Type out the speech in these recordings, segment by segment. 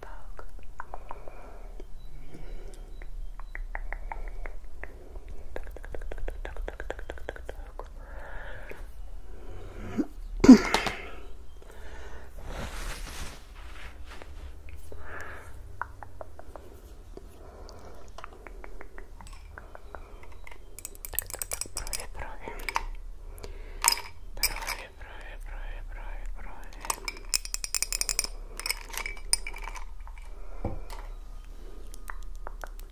так. Так, так, так, так, так, так, так. Брови, брови, брови, брови, брови, брови, брови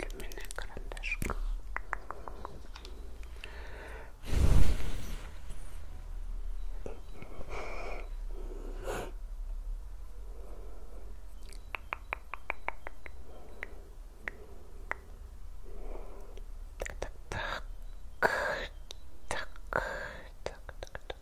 люминая карандашка так, так, так, так, так, так, так, так,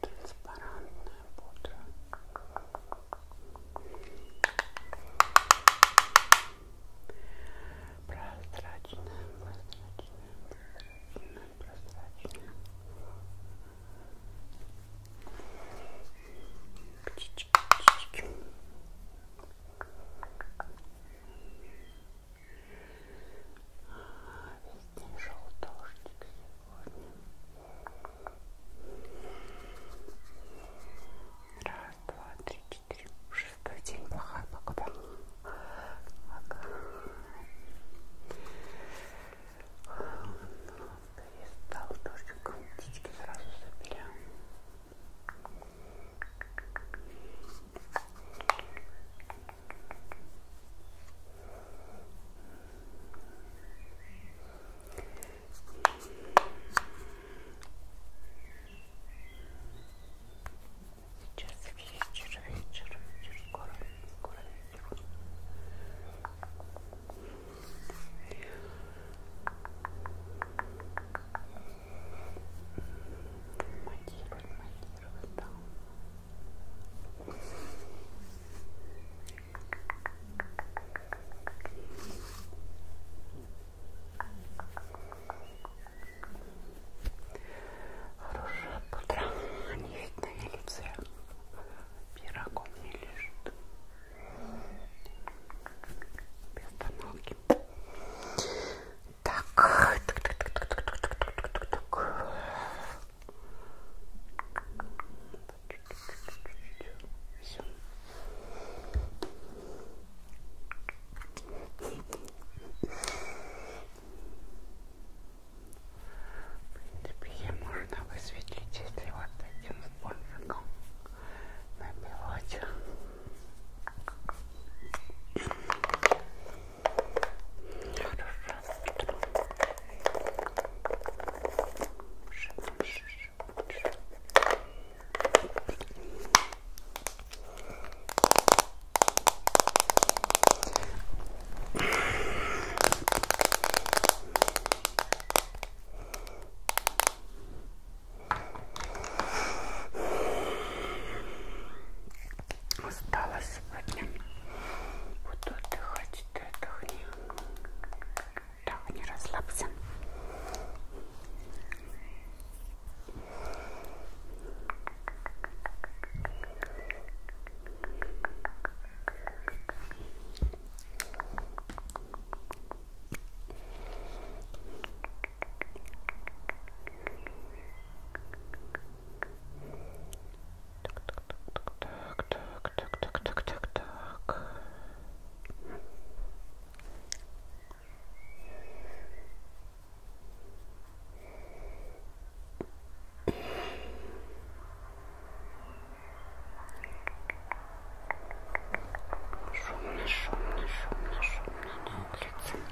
транспарантная пудра. Прозрачная, прозрачная, прозрачная, прозрачная. Птички, птички. Весь день шел дождик сегодня. Раз, два, три, четыре. Шестой день плохая погода. Ага. Перестал дождик. Птички сразу забили. Сейчас вечер, вечер, вечер, скоро, скоро вечер. Монтировать, монтировать, да. Хорошее утро. Они видно на лице. Пирогом не лежит. Без остановки. Так. Так, так, так, так, так, так, так, так, так. Все. В принципе, можно высветлить, если вот таким спонжиком набивать. Осталось сегодня буду отдыхать, ты отдохни. Да, не расслабься. Ой, так, так, так, так, так, так, так, так, так, так. Шумно, шумно, шумно, шумно на улице.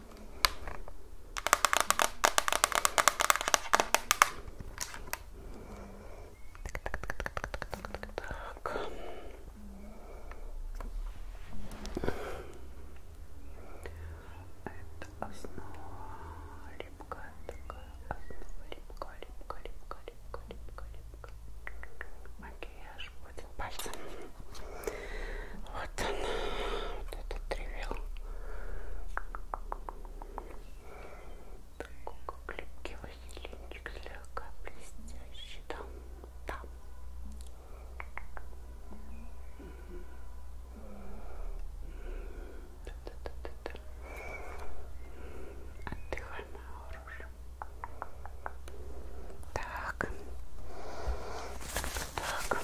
Это основа липкая такая, основа липкая, липкая, липкая, липкая, липкая, липкая. Макияж будет пальцем. Вот он, вот этот тревел. Такой клипкий василинчик, слегка блестящий там, там. Да, да, да, да, да. Отдыхай, моя хорошая. Так. Так.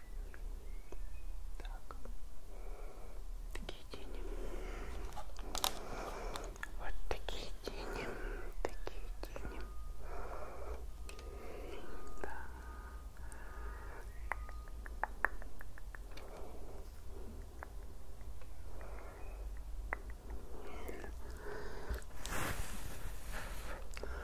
Так. Такие тени. Вот такие тени. Такие тени. Да.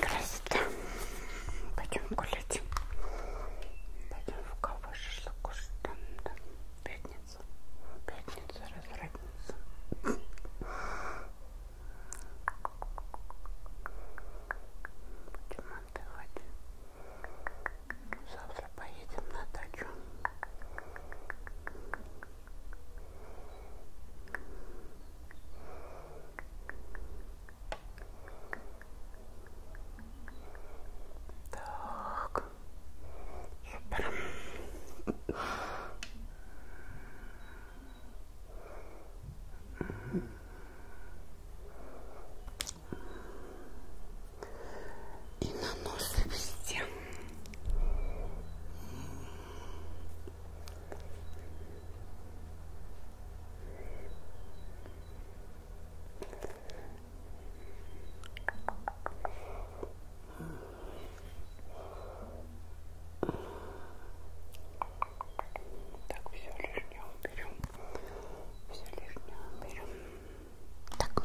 Красота. Пойдем гулять. Пойдем в кого шашлыку там, да? Пятница. Пятница, разрадница. Будем отдыхать. Завтра поедем на дачу. Так, супер. И на нос везде. Так, все лишнее уберем. Все лишнее уберем. Так.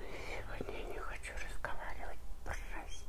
Сегодня я не хочу разговаривать, прости.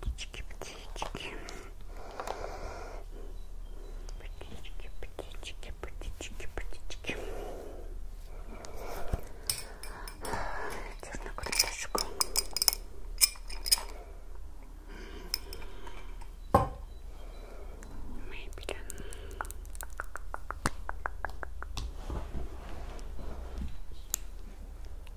Птички, птички. Птички, птички, птички, птички. Чернокрылышку. Мебель.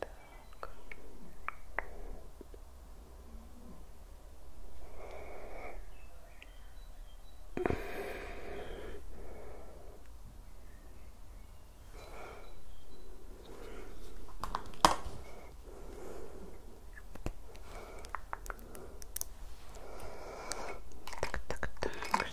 Так. Так, так, так.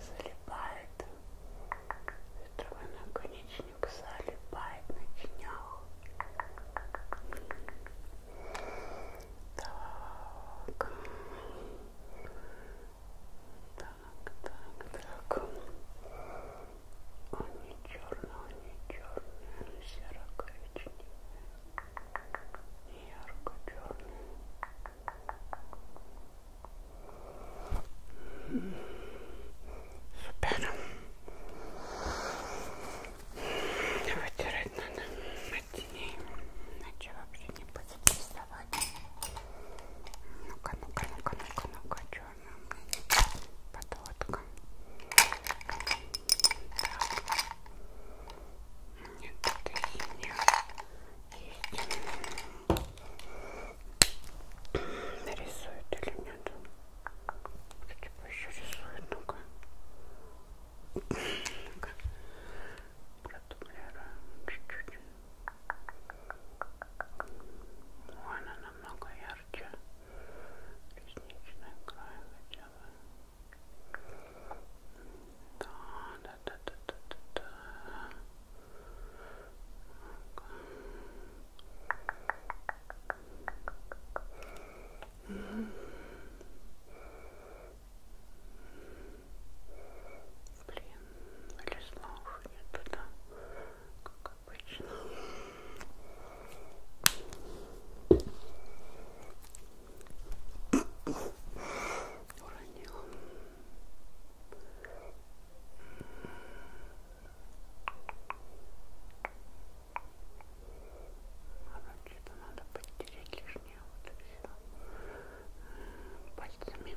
залипает, ветровой наконечник залипает на тенях. Так. Так, так, так. Он не черный, он не черный, серо-коричневый. Ярко-черный. Супер. Вытирать надо от теней, иначе вообще не будет рисовать. Ну-ка, ну-ка, ну-ка, ну-ка, ну-ка, что черная подводка. Так. Нет, это синяя. Есть. Нарисует или нет? Типа еще рисует, ну-ка. Ну-ка. Продублируем чуть-чуть. Ну, она намного ярче. Ресничная край хотя бы. Да, да, да, да, да, да, да. Блин, Владислав, я туда как обычно. Уронила. Короче-то надо подтереть лишнее вот и все. Пальцами.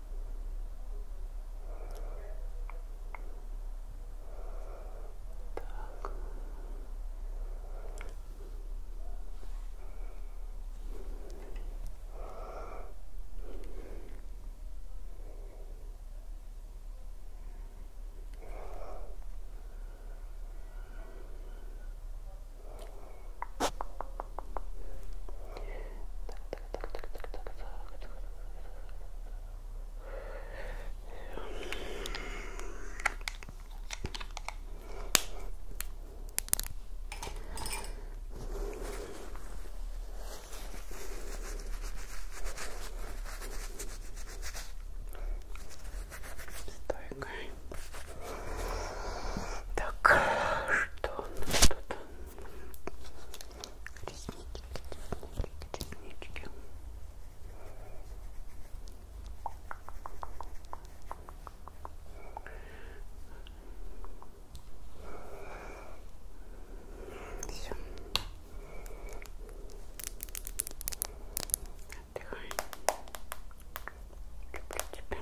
Так. Так, Стойка. Так, что у нас тут? Реснички, реснички, реснички. Все. Отдыхай. Люблю тебя.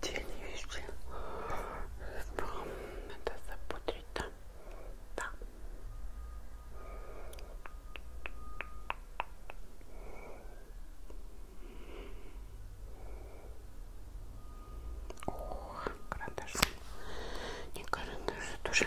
Дельные вещи. Надо запудрить там. Да. О, карандаш. Не карандаш, тоже.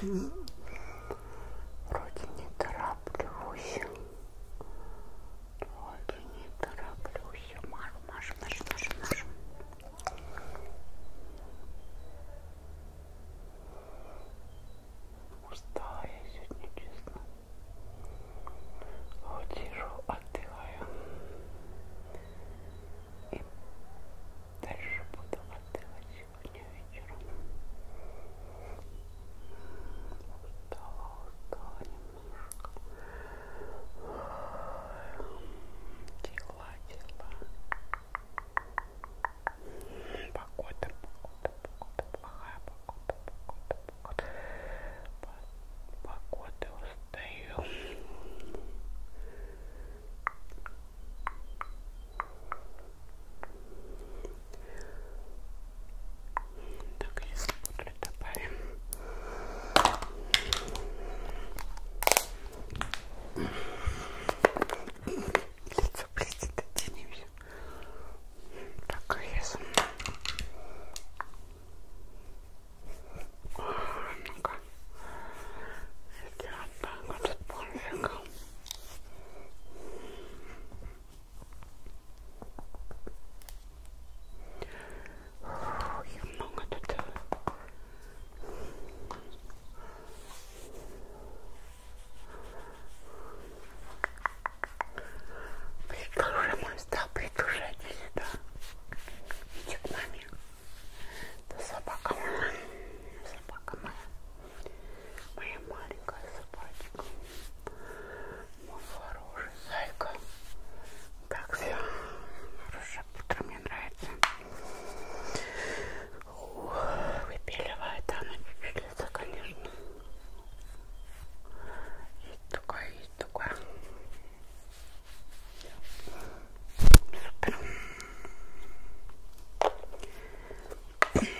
Блин. Вроде не тороплюсь. Вроде не тороплюсь. Маш, маш, маш, маш, маш. Устала я сегодня, честно. Вот сижу, отдыхаю. И дальше буду отдыхать сегодня вечером. Устала, устала немножко. Дела, дела. Погода, погода, погода, плохая погода, погода, погода. Погода устаю. Так, сейчас буду добавим. Лицо блестит от а тени. Так, резом. Ну-ка. Сделаем так вот от пончика. Фух, много тут Придут уже, мой стал, придут уже отсюда. Иди к маме. Это собака моя. Собака моя. Моя маленькая собачка. Мой хороший зайка. Так, все. Хорошо тоже. Утро мне нравится. Выпиливает она чуть-чуть лето, конечно. Есть такое, есть такое. Супер.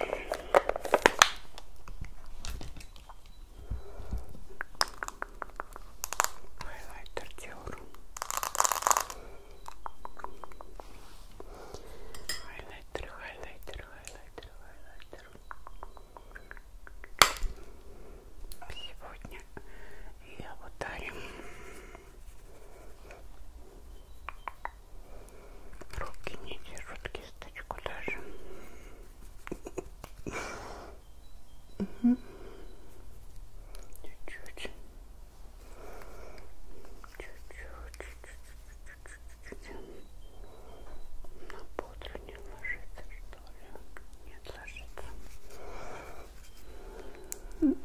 Хайлайтер Диор. Хайлайтер, хайлайтер, хайлайтер, хайлайтер. Сегодня я ударим руки не держат кисточку даже. Чуть-чуть. Чуть-чуть. На пудру не ложится, что ли? Нет, ложится. Mm.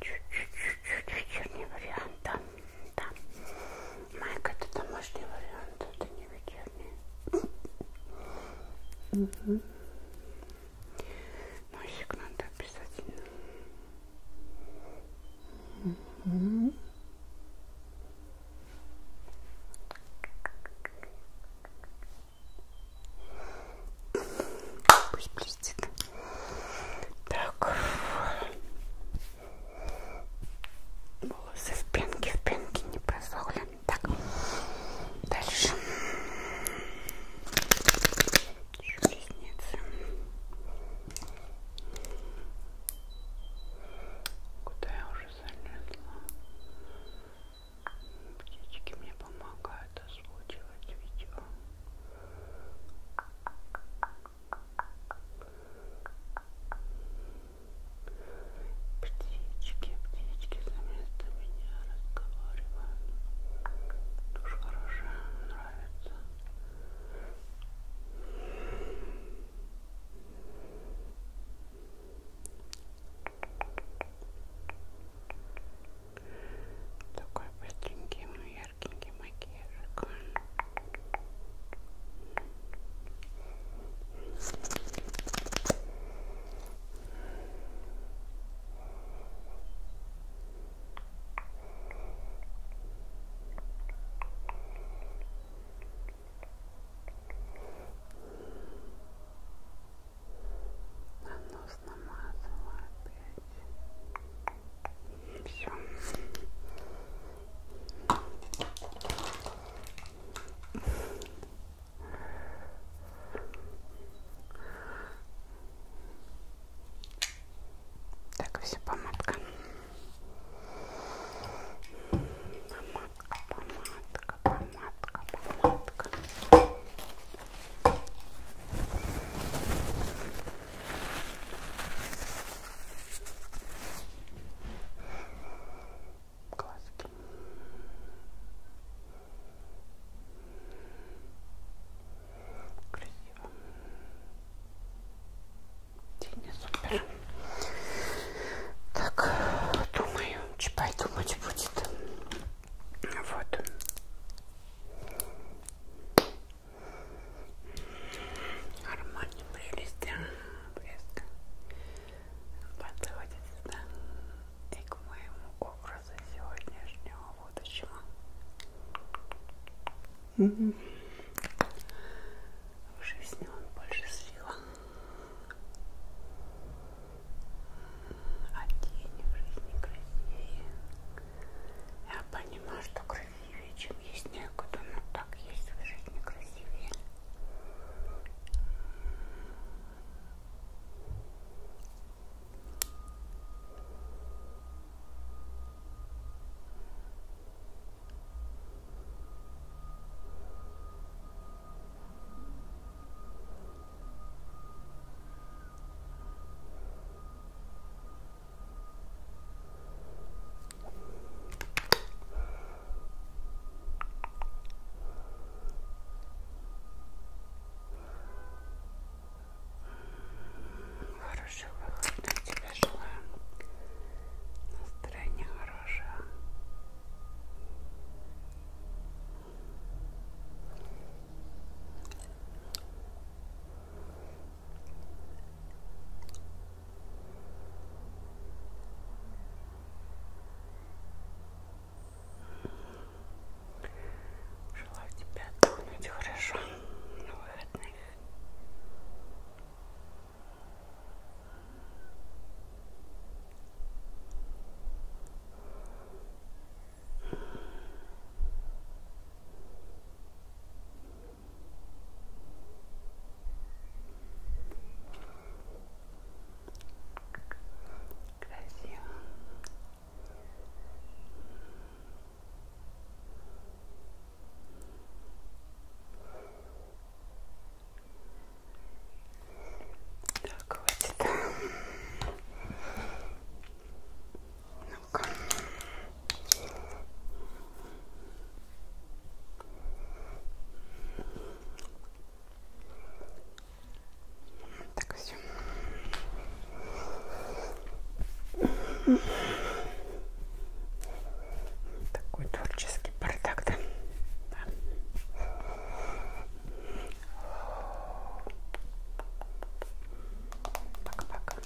Чуть-чуть. Чуть-чуть вечерний вариант, да? да. Майка это домашний вариант, это не вечерний. Угу. Носик надо обязательно. Угу. Пусть блестит. Так. Волосы в пенке, в пенке не просохли. Так, дальше. Еще ресницы. Куда я уже залезла? Птички мне помогают озвучивать видео. Птички, птички вместо меня разговаривают. Душ хорошая, нравится. Такой быстренький, но яркенький макияжик. На нос намазала опять. Все. Так, все, помадка. Помадка, помадка, помадка, помадка. Глазки. Красиво. Тени супер. Так, думаю, чипай думать будет. Вот. Нормально, прелесть. Блеск. Подходит сюда и к моему образу сегодняшнего будущего. Угу. В жизни он больше слива. А тени в жизни красивее. Я понимаю, что красивее красивее, чем есть некуда, но так есть в жизни красивее. Ой, Хорошего выхода тебе желаю. Настроение хорошее. Желаю тебе отдохнуть хорошо на выходных. Спасибо Красиво. Так, хватит ну-ка. Так все. Такой творческий бардак, да? да. Пока-пока.